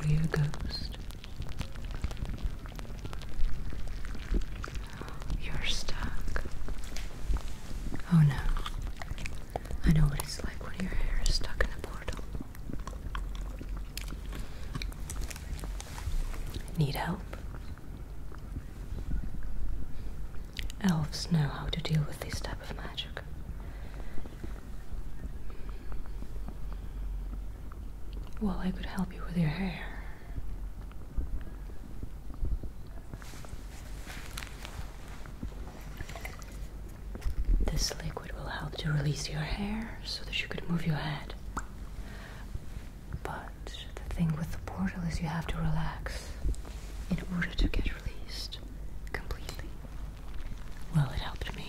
Are you a ghost? You're stuck. Oh no. I know what it's like when your hair is stuck in a portal. Need help? Elves know how to deal with this type of magic. Well, I could help you with your hair. This liquid will help to release your hair so that you could move your head. But the thing with the portal is you have to relax in order to get released completely. Well, it helped me.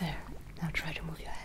There, now try to move your head.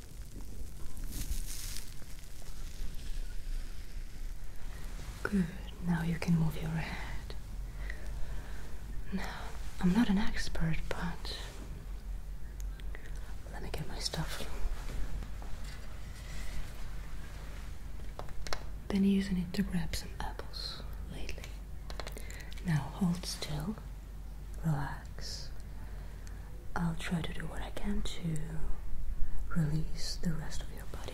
Good. Now you can move your head. Now, I'm not an expert, but let me get my stuff. Been using it to grab some apples lately. Now hold still relax. I'll try to do what I can to release the rest of your body.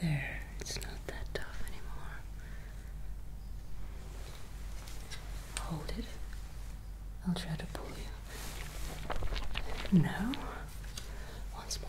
There, it's not that tough anymore. Hold it. I'll try to pull you. No. Once more.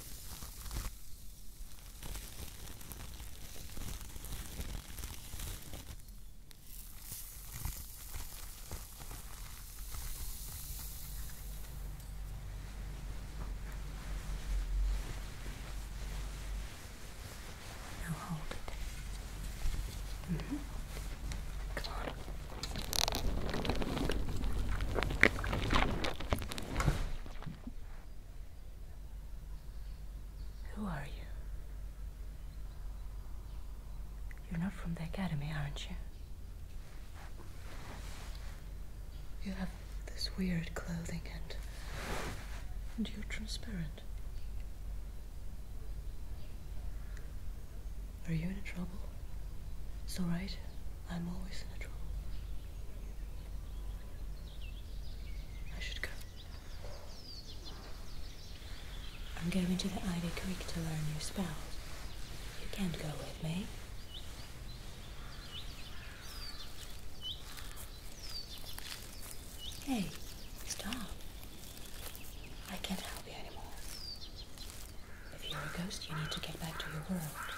Now hold it. -hmm. Come on. Who are you? You're not from the academy, aren't you? You have this weird clothing and. and you're transparent. Are you in trouble? It's alright. I'm always in a trouble. I should go. I'm going to the Ivy Creek to learn new spells. You can't go with me. Hey, stop. I can't help you anymore. If you're a ghost, you need to get back to your world.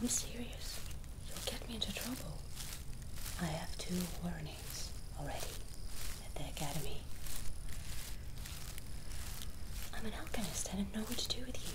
I'm serious. You'll get me into trouble. I have two warnings already at the academy. I'm an alchemist. I didn't know what to do with you.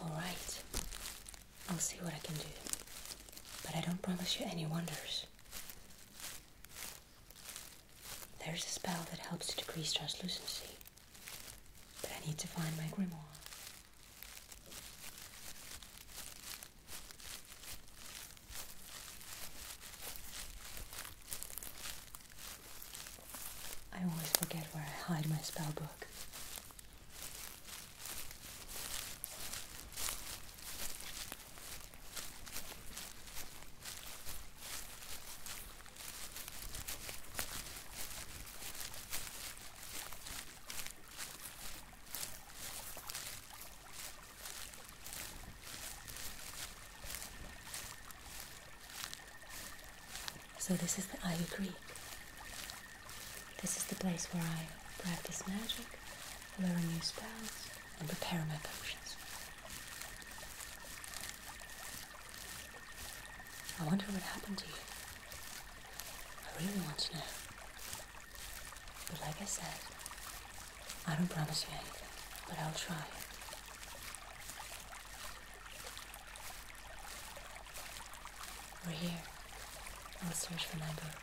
All right, I'll see what I can do, but I don't promise you any wonders. There's a spell that helps to decrease translucency, but I need to find my grimoire. I always forget where I hide my spell book. So this is the Ivy Creek. This is the place where I practice magic, learn new spells, and prepare my potions. I wonder what happened to you. I really want to know. But like I said, I don't promise you anything, but I'll try. We're here. I'll search for my book.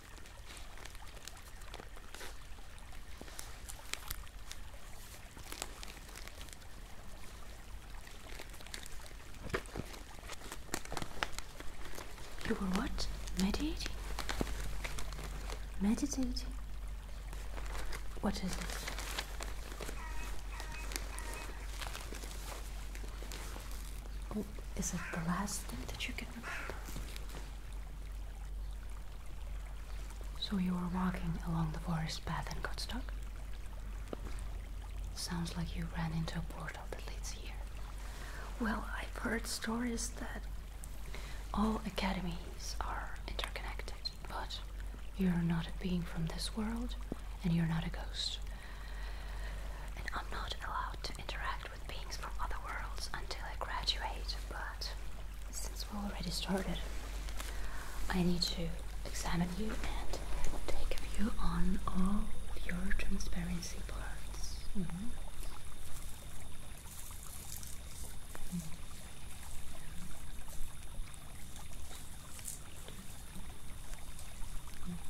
You were what? Meditating? Meditating? What is it? Oh, is it the last thing that you so you were walking along the forest path and got stuck? Sounds like you ran into a portal that leads here. Well, I've heard stories that all academies are interconnected, but you're not a being from this world and you're not a ghost. I'm not allowed to interact with beings from other worlds until I graduate, but since we already started, I need to examine you and take a view on all your transparency parts. Mm-hmm. Mm-hmm.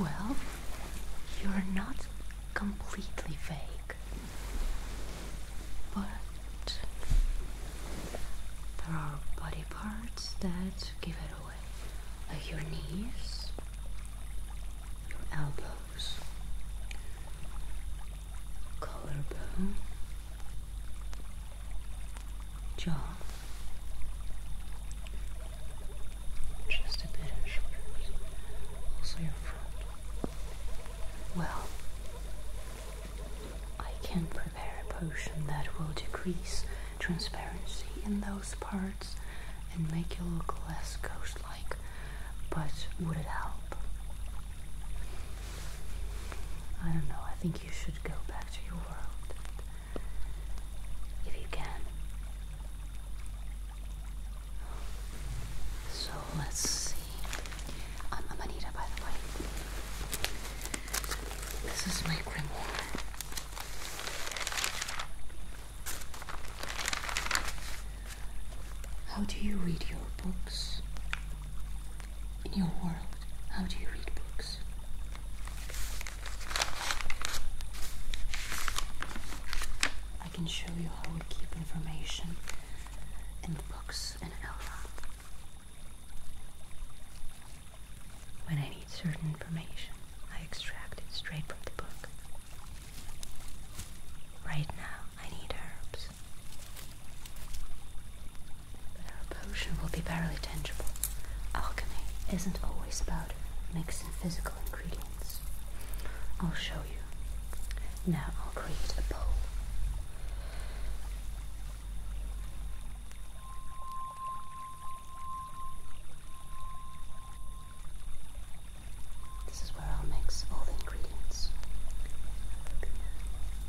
Well, you're not completely vague, but there are body parts that give it away, like your knees, your elbows, collarbone, jaw, just a bit of shoulders, also your front. Well, I can prepare a potion that will decrease transparency in those parts and make you look less ghost-like, but would it help? I don't know, I think you should go back to your world if you can. So let's see. I'm Amanita, by the way. This is my grimoire. How do you read your books? In your world, how do you read books? I can show you how we keep information in books and Elva. When I need certain information, I extract it straight from the book. Right now, I need herbs course. But our potion will be barely tangible. Alchemy isn't always about mixing physical ingredients. I'll show you. Now I'll create a bowl. This is where I'll mix all the ingredients.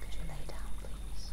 Could you lay down, please?